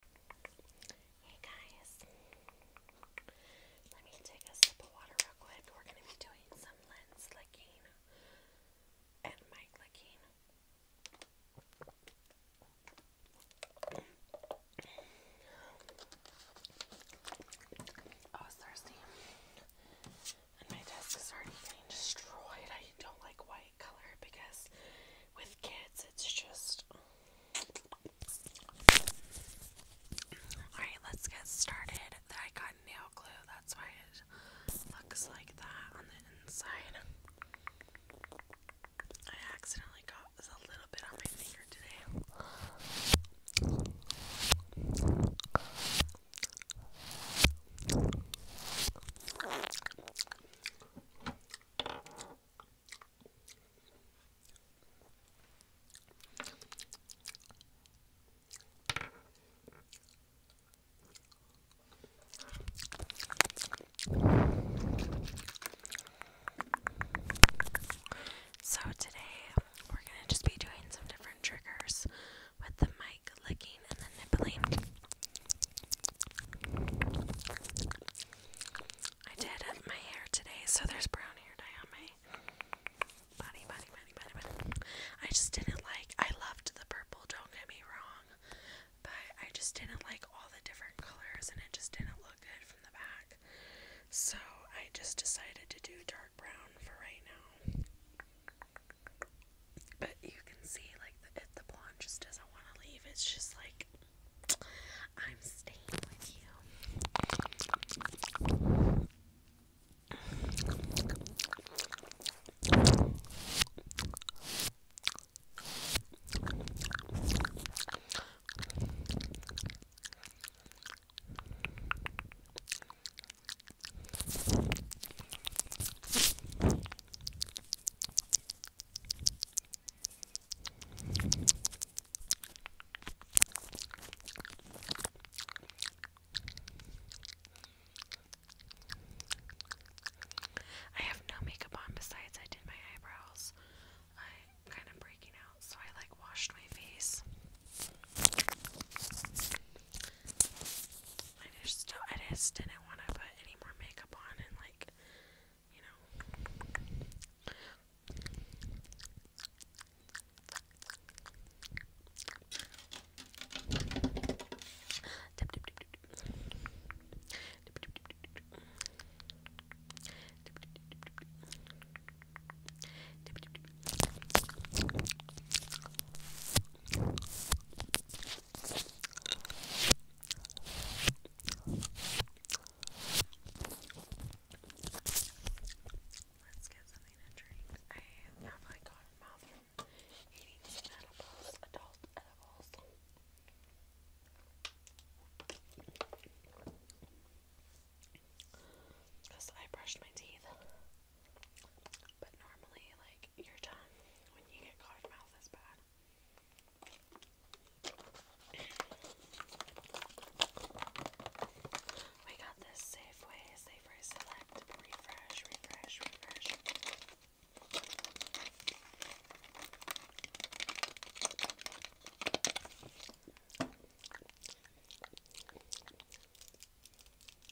Hey guys, let me take a sip of water real quick. We're going to be doing some lens licking and mic licking. I oh, thirsty, and my desk is already getting destroyed. I don't like white color because with kids, it's just. Alright, let's get started. I got nail glue, that's why it looks like that on the inside. I accidentally got a little bit on my finger today. So, today we're going to just be doing some different triggers with the mic licking and the nibbling. I did up my hair today, so there's brown hair dye on my body, body, body, body, body. I just didn't like, I loved the purple, don't get me wrong, but I just didn't like all the different colors and it just didn't look good from the back. So I just decided to do dark brown for right now. But you can see, like, the, the blonde just doesn't want to leave. It's just like, I'm staying with you. I have no makeup on besides I did my eyebrows. I'm kind of breaking out, so I like washed my face. I just I just didn't want to put any more makeup on and like you know Let's get something to drink. I have like gone mouth from eating some edibles, adult edibles. Because I brushed my teeth. But normally, like, your tongue, when you get caught mouth, is bad. we got this Safeway, Safeway Select, refresh, refresh, refresh.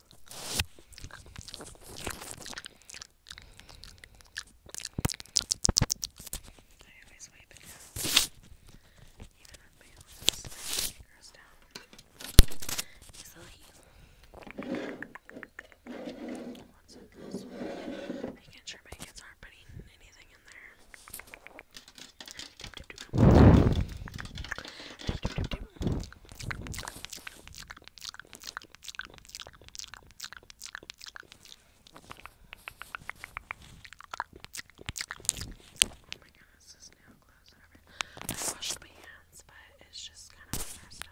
I always wipe it down. Even on my own, it grows down easily. Once it goes, making sure my kids aren't putting anything in there. Dip, dip, dip, dip. Dip, dip, dip, dip. Oh my nose is now closed and everything. I washed my hands, but it's just kind of there still.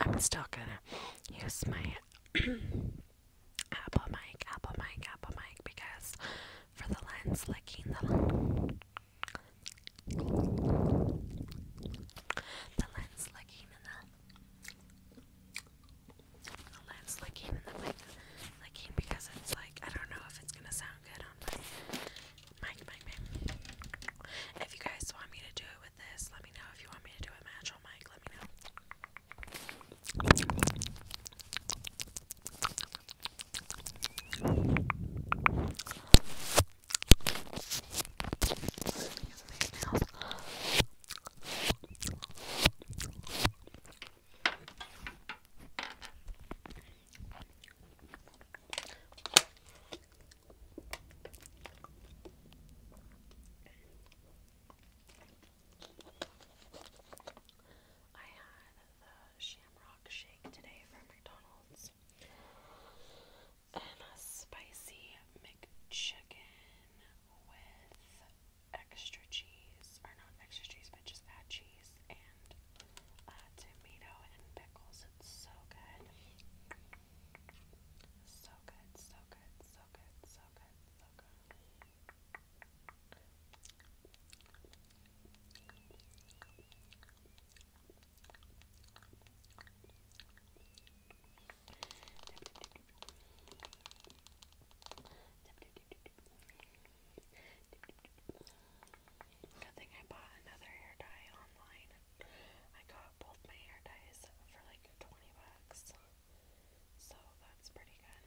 I'm still gonna use my Apple mic, Apple mic, Apple mic because for the lens licking the the lens licking and the the lens licking and the mic licking because it's like I don't know if it's gonna sound good on my Mike, Mike, Mike. If you guys want me to do it with this, let me know. If you want me to do a match on Mike, let me know. I had the shamrock shake today from McDonald's and a spicy McChicken with extra cheese, or not extra cheese, but just add cheese and uh, tomato and pickles. It's so good. So good, so good, so good, so good, so good. Good thing I bought another hair dye online. I got both my hair dyes for like 20 bucks. So that's pretty good.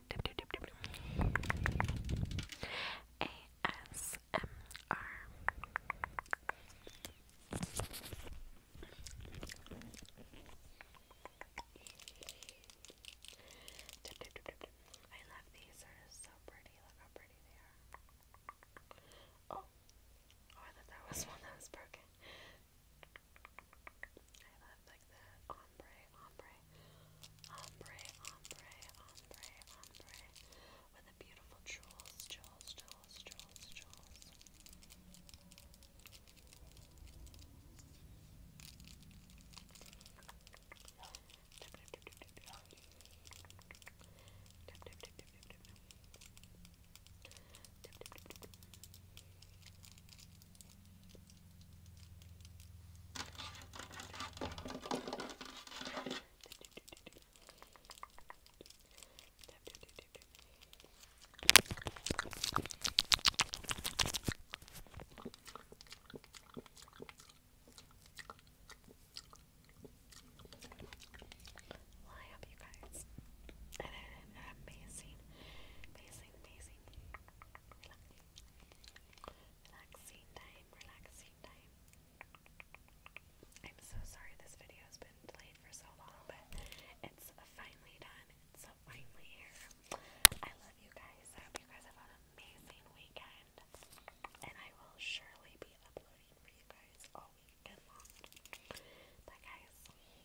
ASMR. I love these, they're so pretty. Look how pretty they are. Oh, oh I thought that was one that was broken. I love like the ombre, ombre, ombre, ombre, ombre, with the beautiful jewels, jewels, jewels, jewels, jewels. Well, I hope you guys had an amazing, amazing, amazing relaxing, time, relaxing time. I'm so sorry this video has been delayed for so long, but it's finally done. It's finally here. I love you guys. I hope you guys have an amazing weekend, and I will surely be uploading for you guys all weekend long. Bye, guys.